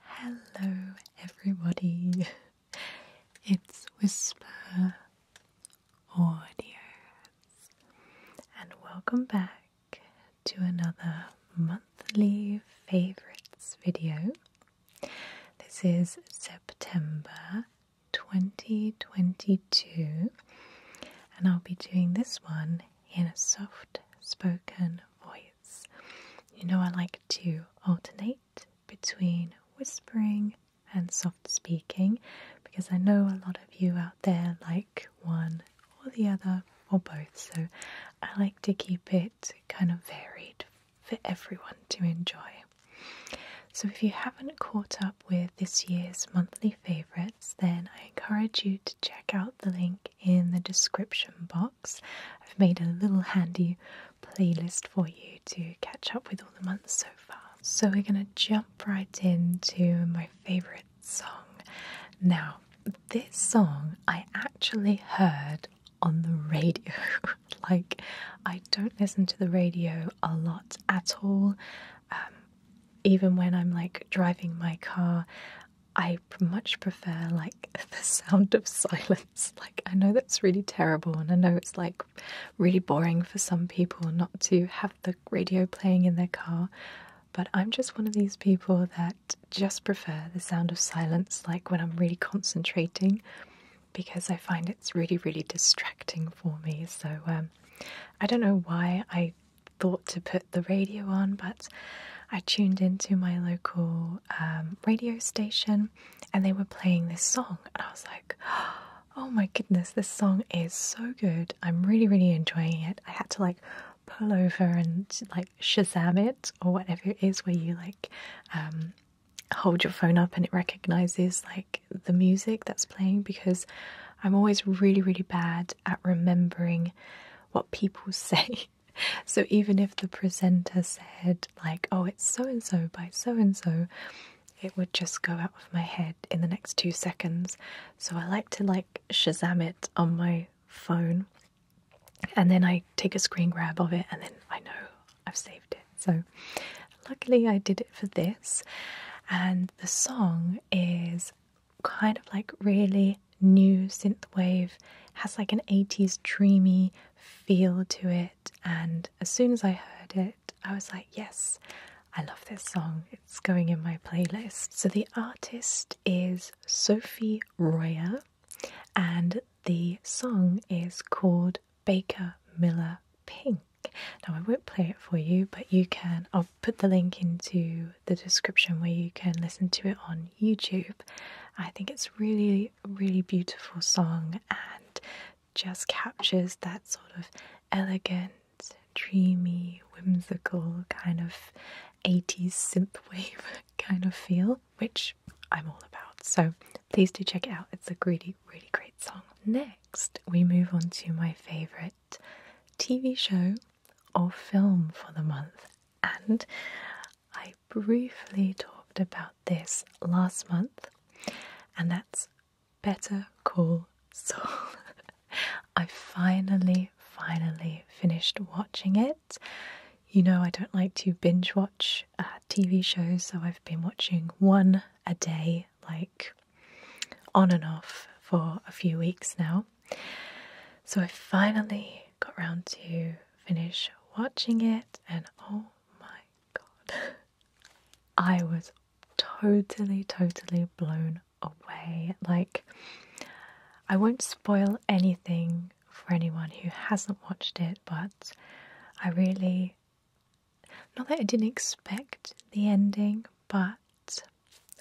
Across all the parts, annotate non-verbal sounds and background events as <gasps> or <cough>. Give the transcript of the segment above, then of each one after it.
Hello, everybody. <laughs> It's Whisper Audios, and welcome back to another monthly favorites video. This is September 2022, and I'll be doing this one in a soft spoken voice. You know, I like to alternate between whispering and soft speaking because I know a lot of you out there like one or the other or both, so I like to keep it kind of varied for everyone to enjoy. So, if you haven't caught up with this year's monthly favourites, then I encourage you to check out the link in the description box I've made a little handy playlist for you to catch up with all the months so far. So we're going to jump right into my favorite song. Now, this song I actually heard on the radio. <laughs> like, I don't listen to the radio a lot at all. Um, even when I'm like driving my car, I much prefer like <laughs> the sound of silence. <laughs> Like I know that's really terrible and I know it's like really boring for some people not to have the radio playing in their car, but I'm just one of these people that just prefer the sound of silence like when I'm really concentrating because I find it's really really distracting for me. So um, I don't know why I thought to put the radio on, but I tuned into my local um, radio station and they were playing this song. And I was like, <gasps> oh my goodness, this song is so good. I'm really, really enjoying it. I had to like pull over and like Shazam it or whatever it is where you like um, hold your phone up and it recognizes like the music that's playing because I'm always really, really bad at remembering what people <laughs> say <laughs> so even if the presenter said, like, oh, it's so and so by so and so, it would just go out of my head in the next two seconds. So I like to like Shazam it on my phone and then I take a screen grab of it and then I know I've saved it. So luckily I did it for this. And the song is kind of like really new synthwave. It has like an 80s dreamy feel to it. And as soon as I heard it, I was like, yes, I love this song. It's going in my playlist. So the artist is Sophie Royer, and the song is called Baker Miller Pink. Now I won't play it for you, but you can. I'll put the link into the description where you can listen to it on YouTube. I think it's really, really beautiful song and just captures that sort of elegant, dreamy, whimsical kind of 80s synthwave <laughs> kind of feel, which I'm all about. So please do check it out. It's a really, really great song. Next, we move on to my favorite TV show or film for the month, and I briefly talked about this last month, and that's Better Call Saul. <laughs> I finally, finally finished watching it. You know, I don't like to binge watch uh, TV shows, so I've been watching one a day, like on and off, for a few weeks now. So I finally got round to finish watching it, and oh my god, <laughs> I was totally, totally blown away. Like, I won't spoil anything for anyone who hasn't watched it, but I really, not that I didn't expect the ending, but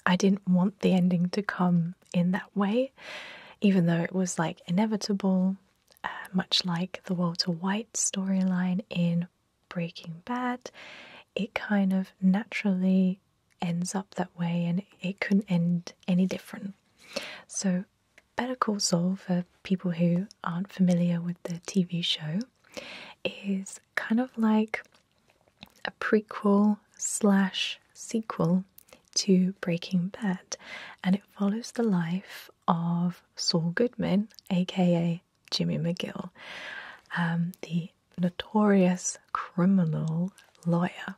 I didn't want the ending to come in that way, even though it was like inevitable, uh, much like the Walter White storyline in Breaking Bad. It kind of naturally ends up that way and it couldn't end any different. So, Better Call for people who aren't familiar with the TV show, is kind of like a prequel slash sequel to Breaking Bad, and it follows the life of Saul Goodman, aka Jimmy McGill, um, the notorious criminal lawyer.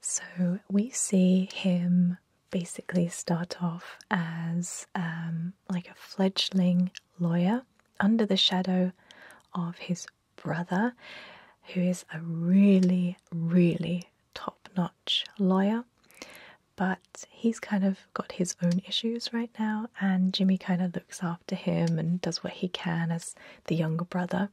So we see him basically start off as um, like a fledgling lawyer under the shadow of his brother, who is a really, really top notch lawyer. But he's kind of got his own issues right now, and Jimmy kind of looks after him and does what he can as the younger brother.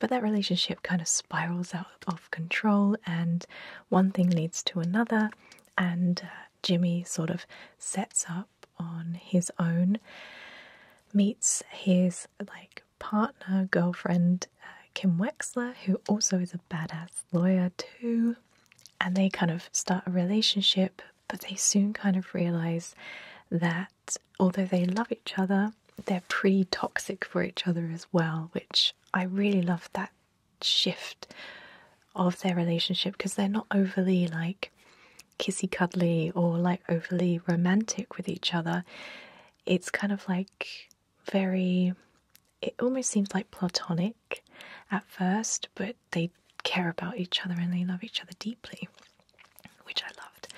But that relationship kind of spirals out of control, and one thing leads to another, and uh, Jimmy sort of sets up on his own meets his like partner girlfriend uh, Kim Wexler, who also is a badass lawyer too, and they kind of start a relationship. But they soon kind of realize that although they love each other, they're pretty toxic for each other as well. Which I really love that shift of their relationship because they're not overly like kissy cuddly or like overly romantic with each other. It's kind of like very, it almost seems like platonic at first, but they care about each other and they love each other deeply, which I loved.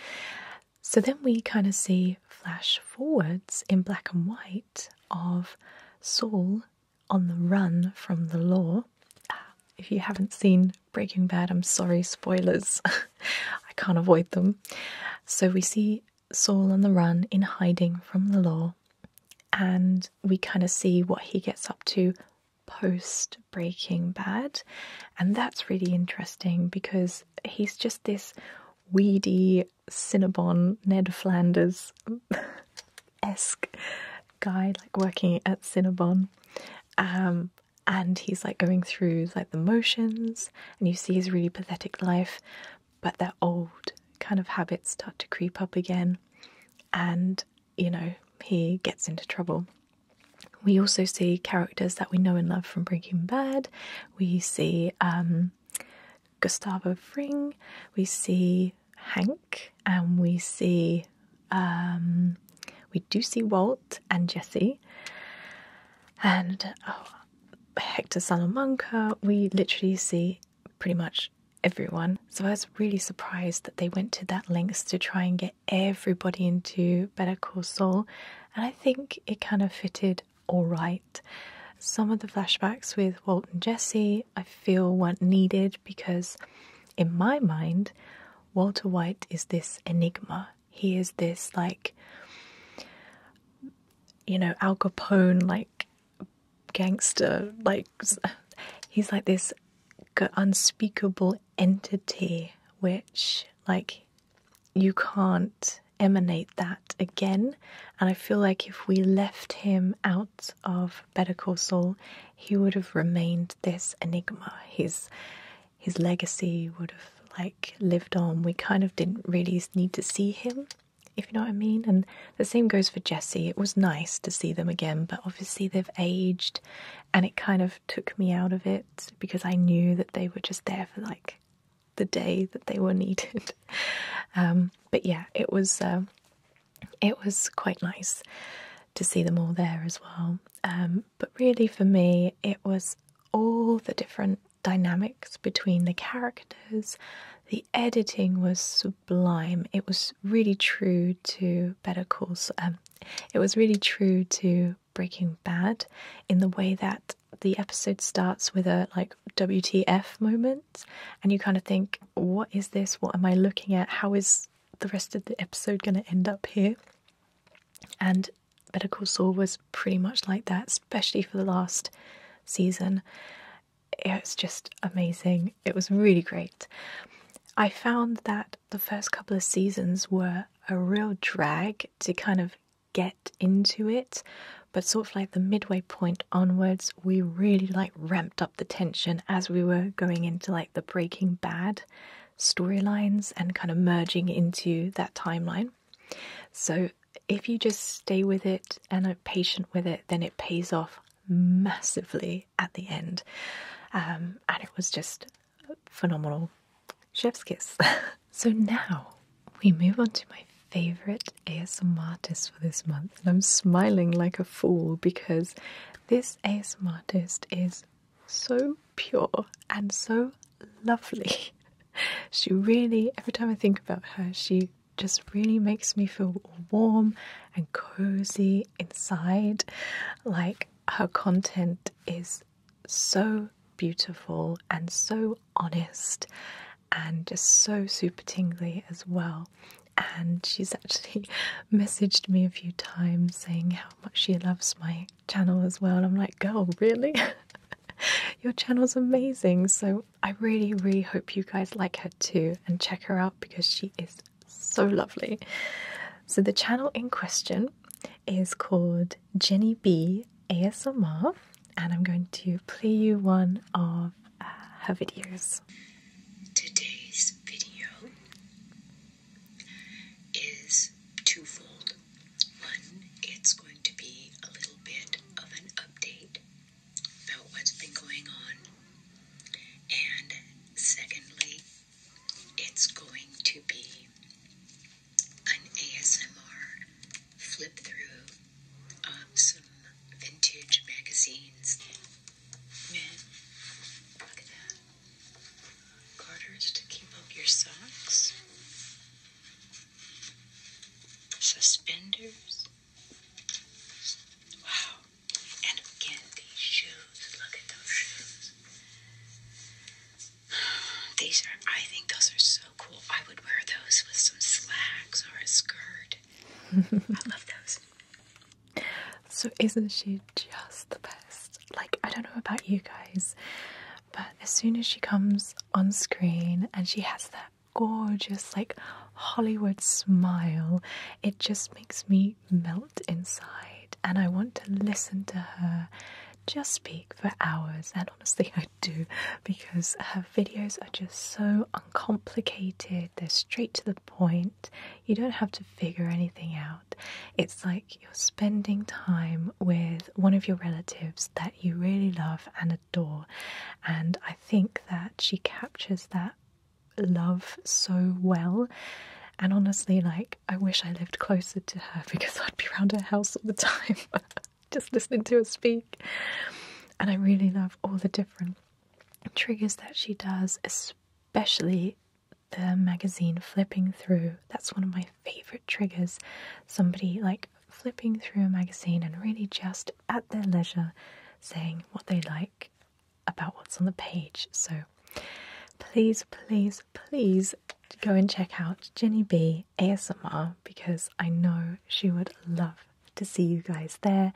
So then we kind of see flash forwards in black and white of Saul on the run from the law. Ah, if you haven't seen Breaking Bad. I'm sorry, spoilers. <laughs> I can't avoid them. So we see Saul on the run in hiding from the law, and we kind of see what he gets up to post Breaking Bad. And that's really interesting because he's just this weedy Cinnabon Ned Flanders <laughs> esque guy, like working at Cinnabon. Um, and he's like going through like the motions and you see his really pathetic life but their old kind of habits start to creep up again and you know he gets into trouble we also see characters that we know and love from breaking bad we see um, gustavo fring we see hank and we see um, we do see Walt and Jesse and oh, Hector Salamanca. We literally see pretty much everyone. So I was really surprised that they went to that lengths to try and get everybody into Better Call Saul, and I think it kind of fitted all right. Some of the flashbacks with Walt and Jesse I feel weren't needed because, in my mind, Walter White is this enigma. He is this, like, you know, Al Capone, like, gangster. Like, he's like this unspeakable entity which, like, you can't emanate that again. And I feel like if we left him out of Better Call Saul, he would have remained this enigma. His his legacy would have like lived on. We kind of didn't really need to see him, if you know what I mean. And the same goes for Jesse. It was nice to see them again, but obviously they've aged, and it kind of took me out of it because I knew that they were just there for like the day that they were <laughs> needed. Um, but yeah, it was uh, it was quite nice to see them all there as well. Um, but really, for me, it was all the different dynamics between the characters. The editing was sublime. It was really true to Better Call um, It was really true to Breaking Bad in the way that the episode starts with a like WTF moment, and you kind of think, what is this? What am I looking at? How is the rest of the episode going to end up here? And Better Call Saul was pretty much like that, especially for the last season. It was just amazing. It was really great. I found that the first couple of seasons were a real drag to kind of get into it, but sort of like the midway point onwards, we really like ramped up the tension as we were going into like the Breaking Bad storylines and kind of merging into that timeline. So, if you just stay with it and are patient with it, then it pays off massively at the end. Um, and it was just phenomenal. Chef's kiss. <laughs> so, now we move on to my favorite ASMR artist for this month, and I'm smiling like a fool because this ASMR artist is so pure and so lovely. <laughs> She really, every time I think about her, she just really makes me feel warm and cozy inside. Like her content is so beautiful and so honest and just so super tingly as well. And she's actually <laughs> messaged me a few times saying how how much she loves my channel as well. I'm like, girl, really? <laughs> Your channel's amazing. So I really, really hope you guys like her too and check her out because she is so lovely. So the channel in question is called Jenny B ASMR, and I'm going to play you one of uh, her videos. Today's video is twofold. One, it's going to be a little bit of an update about what's been going on. And secondly, it's going to be an ASMR flip through of some vintage magazines. Man, look at that. Garters to keep up your socks, suspenders. Wow. And again, these shoes. Look at those shoes. <sighs> These are, I think those are so cool. I would wear those with some slacks or a skirt. <laughs> I love those. So, isn't she just the best? Like, I don't know about you guys, but as soon as she comes on screen and she has that gorgeous, like, Hollywood smile, it just makes me melt inside. And I want to listen to her just speak for hours. And honestly, I do because her videos are just so uncomplicated, they're straight to the point. You don't have to figure anything out. It's like you're spending time with one of your relatives that you really love and adore. And I think that she captures that love so well. And honestly, like, I wish I lived closer to her <laughs> because I'd be around her house all the time, <laughs> just listening to her speak. And I really love all the different triggers that she does, especially the magazine flipping through. That's one of my favorite triggers. Somebody like flipping through a magazine and really just at their leisure saying what they like about what's on the page. So please, please, please go and check out Jenny B ASMR because I know she would love to see you guys there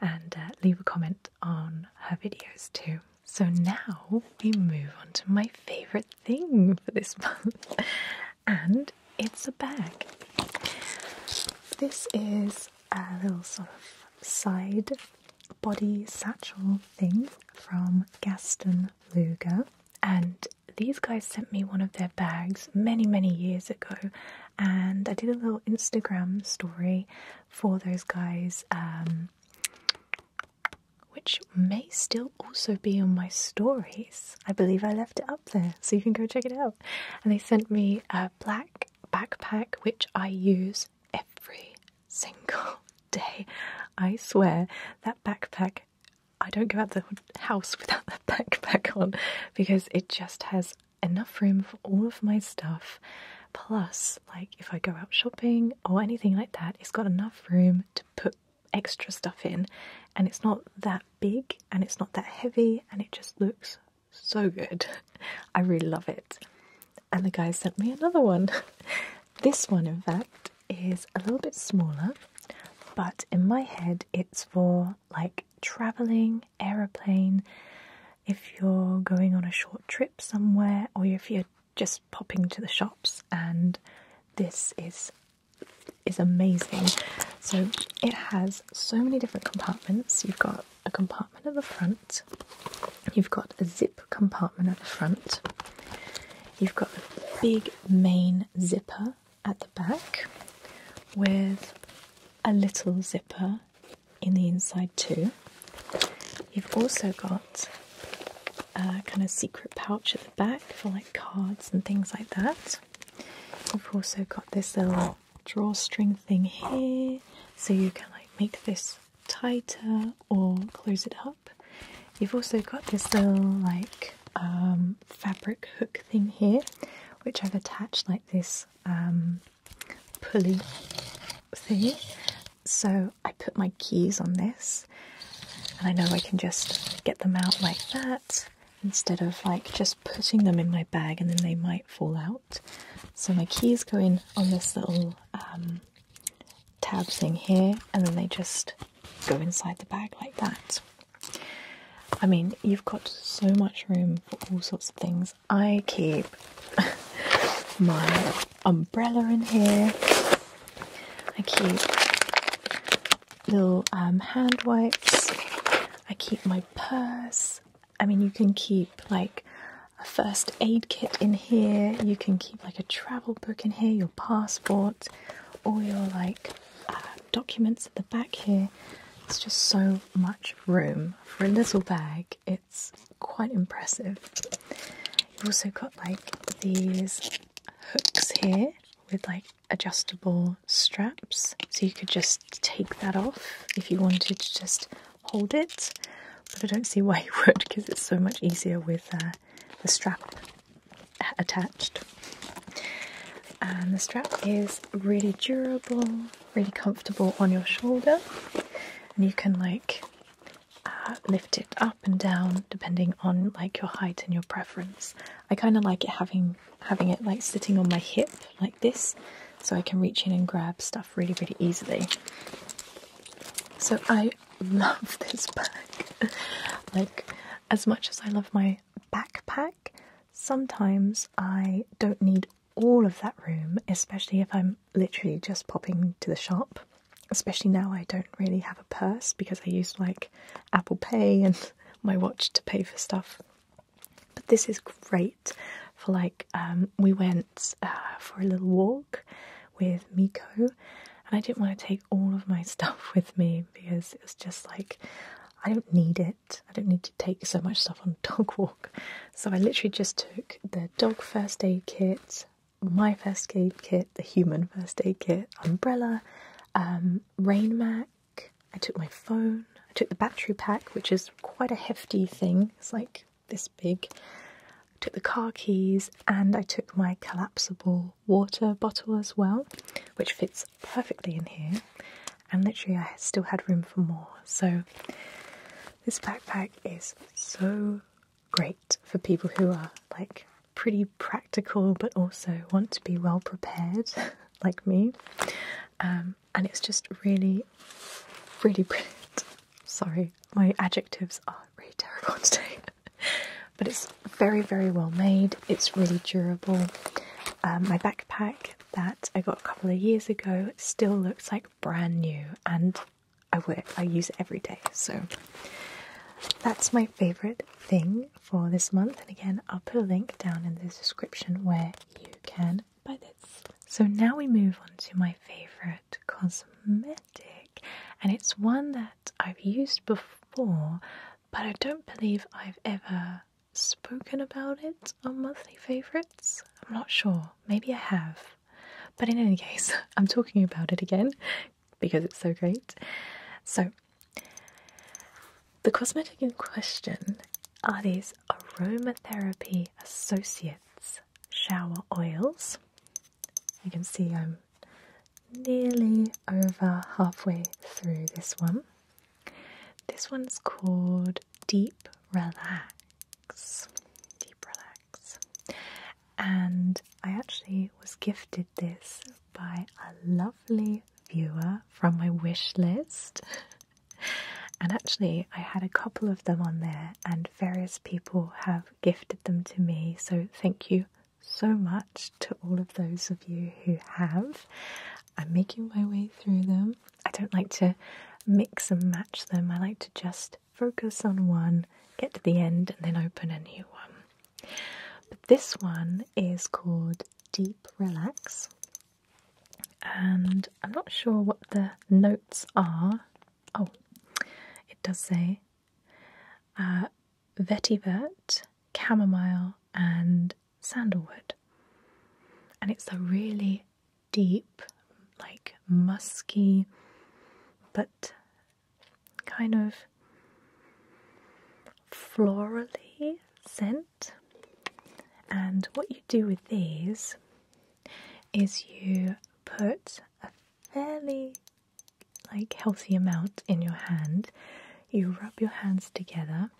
and uh, leave a comment on her videos too. So now we move on to my favorite thing for this <laughs> month, and it's a bag. This is a little sort of side body satchel thing from Gaston Luger, and these guys sent me one of their bags many, many years ago, and I did a little Instagram story for those guys, um, which may still also be on my stories. I believe I left it up there, so you can go check it out. And they sent me a black backpack, which I use every single <laughs> day. I swear that backpack. I don't go out the house <laughs> without that backpack on because it just has enough room for all of my stuff. Plus, like if I go out shopping or anything like that, it's got enough room to put extra stuff in and it's not that big and it's not that heavy and it just looks so good. <laughs> I really love it. And the guy sent me another one. <laughs> this one, in fact, is a little bit smaller, but in my head, it's for like traveling, aeroplane, if you're going on a short trip somewhere or if you're just popping to the shops and this is is amazing. So it has so many different compartments. You've got a compartment at the front, you've got a zip compartment at the front, you've got a big main zipper at the back with a little zipper in the inside too. You've also got a kind of secret pouch at the back for like cards and things like that. You've also got this little drawstring thing here, so you can like make this tighter or close it up. You've also got this little like um, fabric hook thing here, which I've attached like this um, pulley thingy. So I put my keys on this, and I know I can just get them out like that instead of like just putting them in my bag and then they might fall out. So my keys go in on this little um, tab thing here, and then they just go inside the bag like that. I mean, you've got so much room for all sorts of things I keep <laughs> my umbrella in here. I keep little um, hand wipes. I keep my purse. I mean, you can keep like a first aid kit in here. You can keep like a travel book in here, your passport, all your like uh, documents at the back here. It's just so much room for a little bag. It quite impressive. You've also got like these hooks here with like adjustable straps, so you could just take that off if you wanted to just hold it. But I don't see why <laughs> you would because it's so much easier with uh, the strap attached. And the strap is really durable, really comfortable on your shoulder, and you can like uh, lift it up and down depending on like your height and your preference. I kind of like it having having it like sitting on my hip like this, so I can reach in and grab stuff really really easily. So I <laughs> love this bag. <laughs> like as much as I love my backpack, sometimes I don't need all of that room, especially if I'm literally just popping to the shop. Especially now, I don't really have a purse because I use like Apple Pay and <laughs> my watch to pay for stuff. But this is great for like, um, we went uh, for a little walk with Miko, and I didn't want to take all of my <laughs> stuff with me because it was just like, I don't need it. I don't need to take so much stuff on dog walk. So I literally just took the dog first aid kit, my first aid kit, the human first aid kit, umbrella, um, rain mac. I took my phone. I took the battery pack, which is quite a hefty thing. It's like this big. I took the car keys and I took my collapsible water bottle as well, which fits perfectly in here and literally I still had room for more. So this backpack is so great for people who are like pretty practical but also want to be well prepared <laughs> like me. Um, and it's just really, really brilliant. <laughs> Sorry, my adjectives are really terrible <laughs> today. but it's very, very well made. It's really durable. Um, my backpack that I got a couple of years ago still looks like brand new and I work I use it every day so that's my favorite thing for this month and again I'll put a link down in the description where you can buy this. So now we move on to my favorite cosmetic and it's one that I've used before but I don't believe I've ever spoken about it on monthly favorites. I'm not sure. Maybe I have. But in any case, <laughs> I'm talking about it again because it's so great. So, the cosmetic in question are these aromatherapy associates shower oils. You can see I'm nearly over halfway through this one. This one's called Deep Relax. Deep Relax. And I actually was gifted this by a lovely viewer from my wish list. <laughs> and actually, I had a couple of them on there, and various people have gifted them to me. So, thank you so much to all of those of you who have. I'm making my way through them. I don't like to mix and match them, I like to just focus on one, get to the end, and then open a new one. But this one is called Deep Relax, and I'm not sure what the notes are. Oh, it does say uh, vetivert, chamomile, and sandalwood. And it's a really deep, like musky, but kind of florally scent. And what you do with these is you put a fairly like healthy amount in your hand. You rub your hands together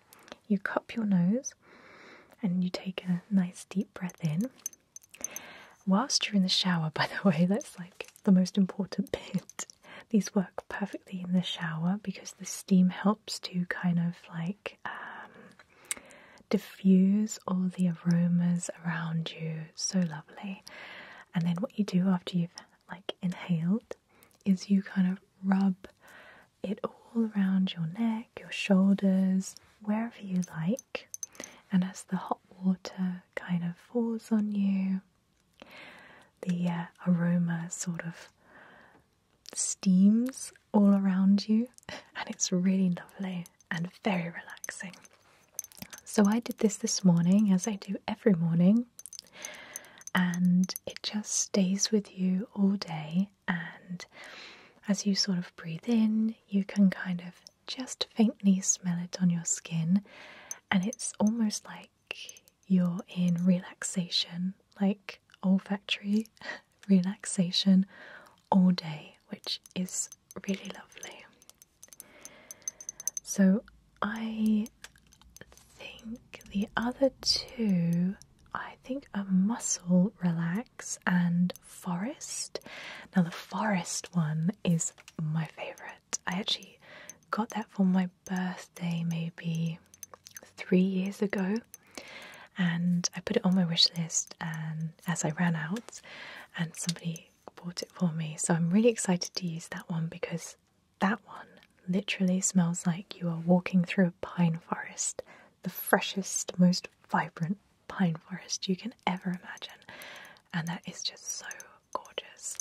you cup your nose and you take a nice deep breath in. Whilst you're in the shower, <laughs> by the way, that's like the most important <laughs> bit. These work perfectly in the shower because the steam helps to kind of like um, diffuse all the aromas around you. So lovely. And then what you do after you've like inhaled is you kind of rub it all around your neck, your shoulders, wherever you like. And as the hot water kind of falls on you, the uh, aroma sort of steams all around you, <laughs> and it's really lovely and very relaxing. So, I did this this morning as I do every morning, and it just stays with you all day and as you sort of breathe in, you can kind of just faintly smell it on your skin, and it's almost like you're in relaxation, like olfactory <laughs> relaxation all day, which is really lovely. So, I think the other two, I think, are Muscle Relax and Forest. Now, the Forest one is my favorite. I actually got that for my birthday maybe three years ago. And I put it on my wish list, and as I ran out, and somebody bought it for me. So I'm really excited to use that one because that one literally smells like you are walking through a pine forest, the freshest, most vibrant pine forest you can ever imagine. And that is just so gorgeous.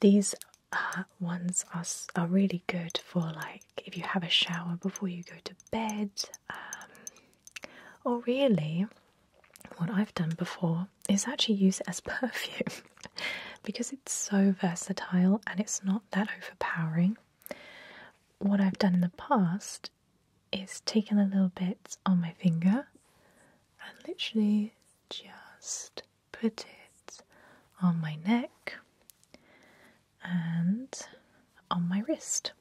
these uh, ones are, are really good for like if you have a shower before you go to bed, um, or really, what I've done before is actually use it as <laughs> perfume because it's so versatile and it's not that overpowering. What I've done in the past is taken a little bit on my finger and literally just put it on my neck and on my wrist.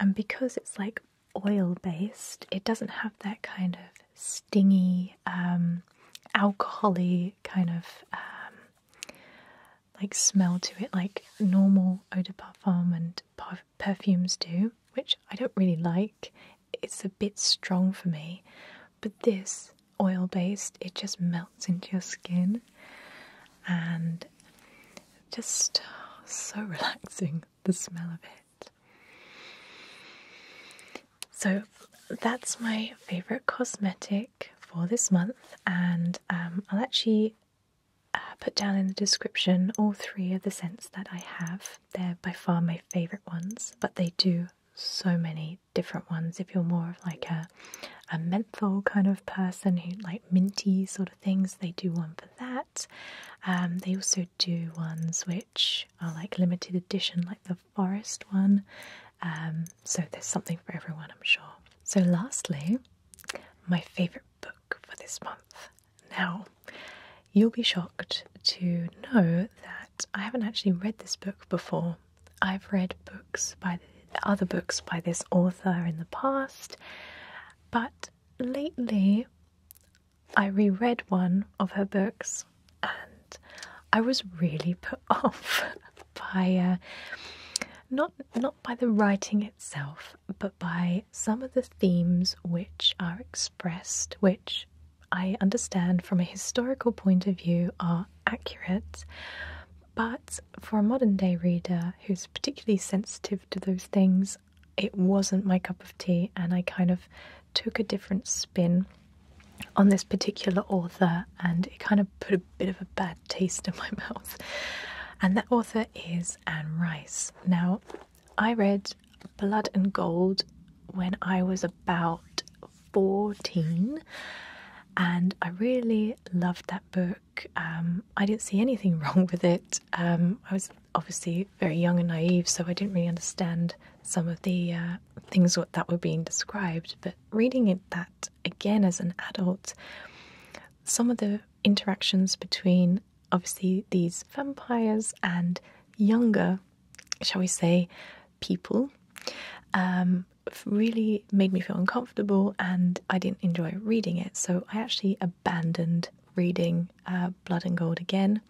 And because it's like oil based, it doesn't have that kind of stingy um, alcoholy kind of um, like smell to it, like normal eau de parfum and perfumes do, which I don't really like. It's a bit strong for me, but this oil based, it just melts into your skin and just oh, so <laughs> relaxing the smell of it. So that's my favorite cosmetic for this month, and um, I'll actually uh, put down in the description all three of the scents that I have. They're by far my favorite ones, but they do so many different ones. If you're more of like a menthol kind of person who like minty sort of things, they do one for that. Um, they also do ones which are like limited edition, like the forest one. Um, so there's something for everyone, I'm sure. So, lastly, my favourite book for this month. Now, you'll be shocked to know that I haven't actually read this book before. I've read books by other books by this author in the past, but lately I reread one of her books and I was really put <laughs> off by uh, not not by the writing itself, but by some of the themes which are expressed, which I understand from a historical point of view are accurate. But for a modern day reader who's particularly sensitive to those things, it wasn't my cup of tea, and I kind of took a different spin on this particular author and it kind of put a bit of a bad taste in my <laughs> mouth. And that author is Anne Rice. Now, I read Blood and Gold when I was about 14 and I really loved that book. Um, I didn't see anything <laughs> wrong with it. Um, I was obviously very young and naive, so I didn't really understand some of the uh, things that were being described, but reading it that again as an adult, some of the interactions between obviously these vampires and younger, shall we say, people um, really made me feel uncomfortable and I didn't enjoy reading it. So I actually abandoned reading uh, Blood and Gold again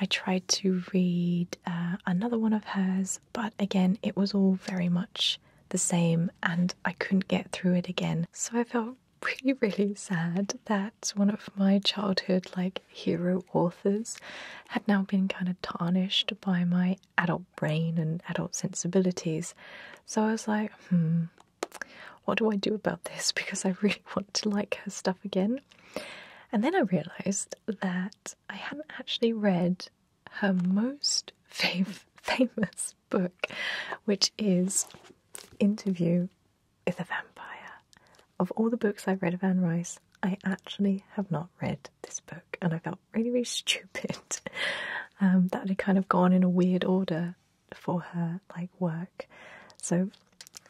I tried to read uh, another one of hers, but again, it was all very much the same and I couldn't get through it again. So I felt <laughs> really, really sad that one of my childhood, like, hero authors had now been kind of tarnished by my adult brain and adult sensibilities. So I was like, hmm, what do I do about this? <laughs> Because I really <laughs> want to like her stuff again. And then I realized that I hadn't actually read her most <laughs> famous book, which is Interview with a Vampire. Of all the books I've read of Anne Rice, I actually have not read this book, and I felt really, really <laughs> stupid um, that had kind of gone in a weird order for her like work. So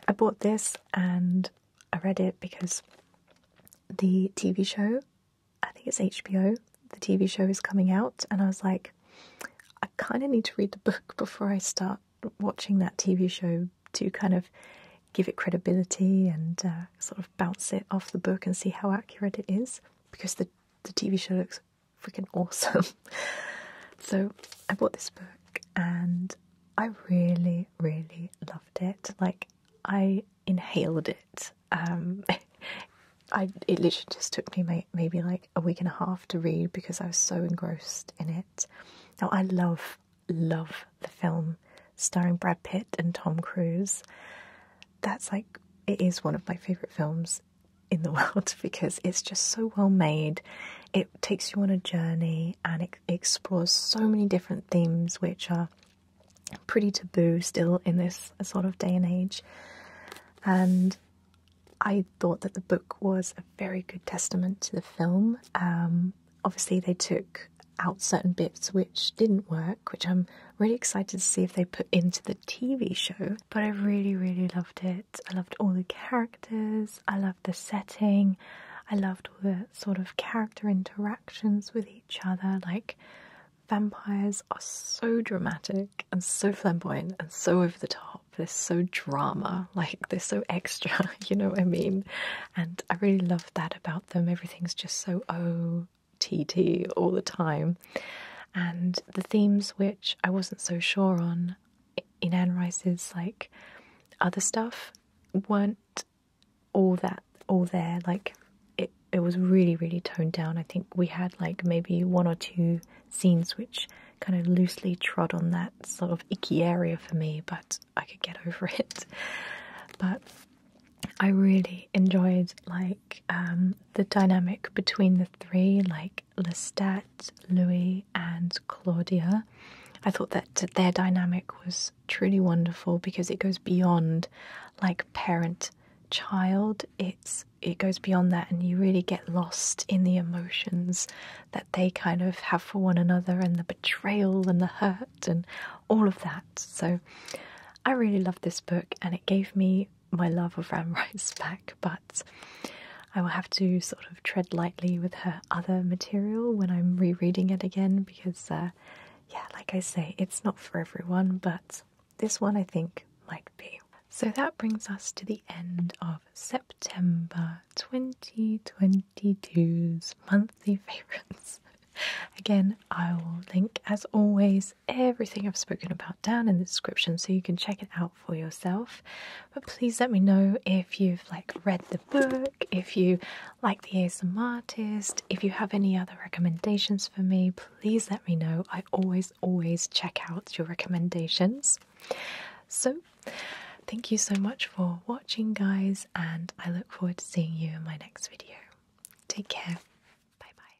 I bought this and I read it because the TV show, I think it's HBO, the TV show is coming out, and I was like, I kind of need to read the book <laughs> before I start watching that TV show to kind of give it credibility and uh, sort of bounce it off the book and see how accurate it is because the, the TV show looks freaking awesome. <laughs> so I bought this book and I really, really loved it. Like I inhaled it. Um, <laughs> I it literally just took me maybe like a week and a half to read because I was so engrossed in it. Now I love love the film starring Brad Pitt and Tom Cruise. That's like it is one of my favorite films in the <laughs> world because it's just so well made. It takes you on a journey and explores so many different themes which are pretty taboo still in this sort of day and age. And I thought that the book was a very good testament to the film. Um, obviously, they took out certain bits which didn't work, which I'm really excited to see if they put into the TV show. But I really, really loved it. I loved all the characters. I the setting. I loved all the sort of character interactions with each other. Like, vampires are so dramatic and so flamboyant and so over the top. They're so drama, like, they're so extra, <laughs> you know what I mean? And I really loved that about them. Everything's just so OTT all the time. And the themes which I wasn't so sure on in Anne Rice's, like, other stuff weren't all that all there. Like it, it was really really toned down. I think we had like maybe one or two scenes which kind of loosely trod on that sort of icky area for me, but I could get <laughs> over it. But I really enjoyed like um, the dynamic between the three, like Lestat, Louis, and Claudia. I thought that their dynamic was truly wonderful because it goes beyond like parent child. It's it goes beyond that and you really get lost in the emotions that they kind of have for one another and the betrayal and the hurt and all of that. So I really loved this book and it gave me my love of Ram Rice <laughs> back, but I will have to sort of tread lightly with her other material when I'm rereading it again because, uh, yeah, like I say, it's not for everyone, but this one I think might be. So that brings us to the end of September 2022's monthly <laughs> favorites. Again, I will link, as always, everything I've spoken about down in the description so you can check it out for yourself. But please let me know if you've like read the book if you like the ASM artist, if you have any other recommendations for me, please let me know. I always, always check out your recommendations. So, thank you so much for watching, guys, and I look forward to seeing you in my next video. Take care. Bye bye.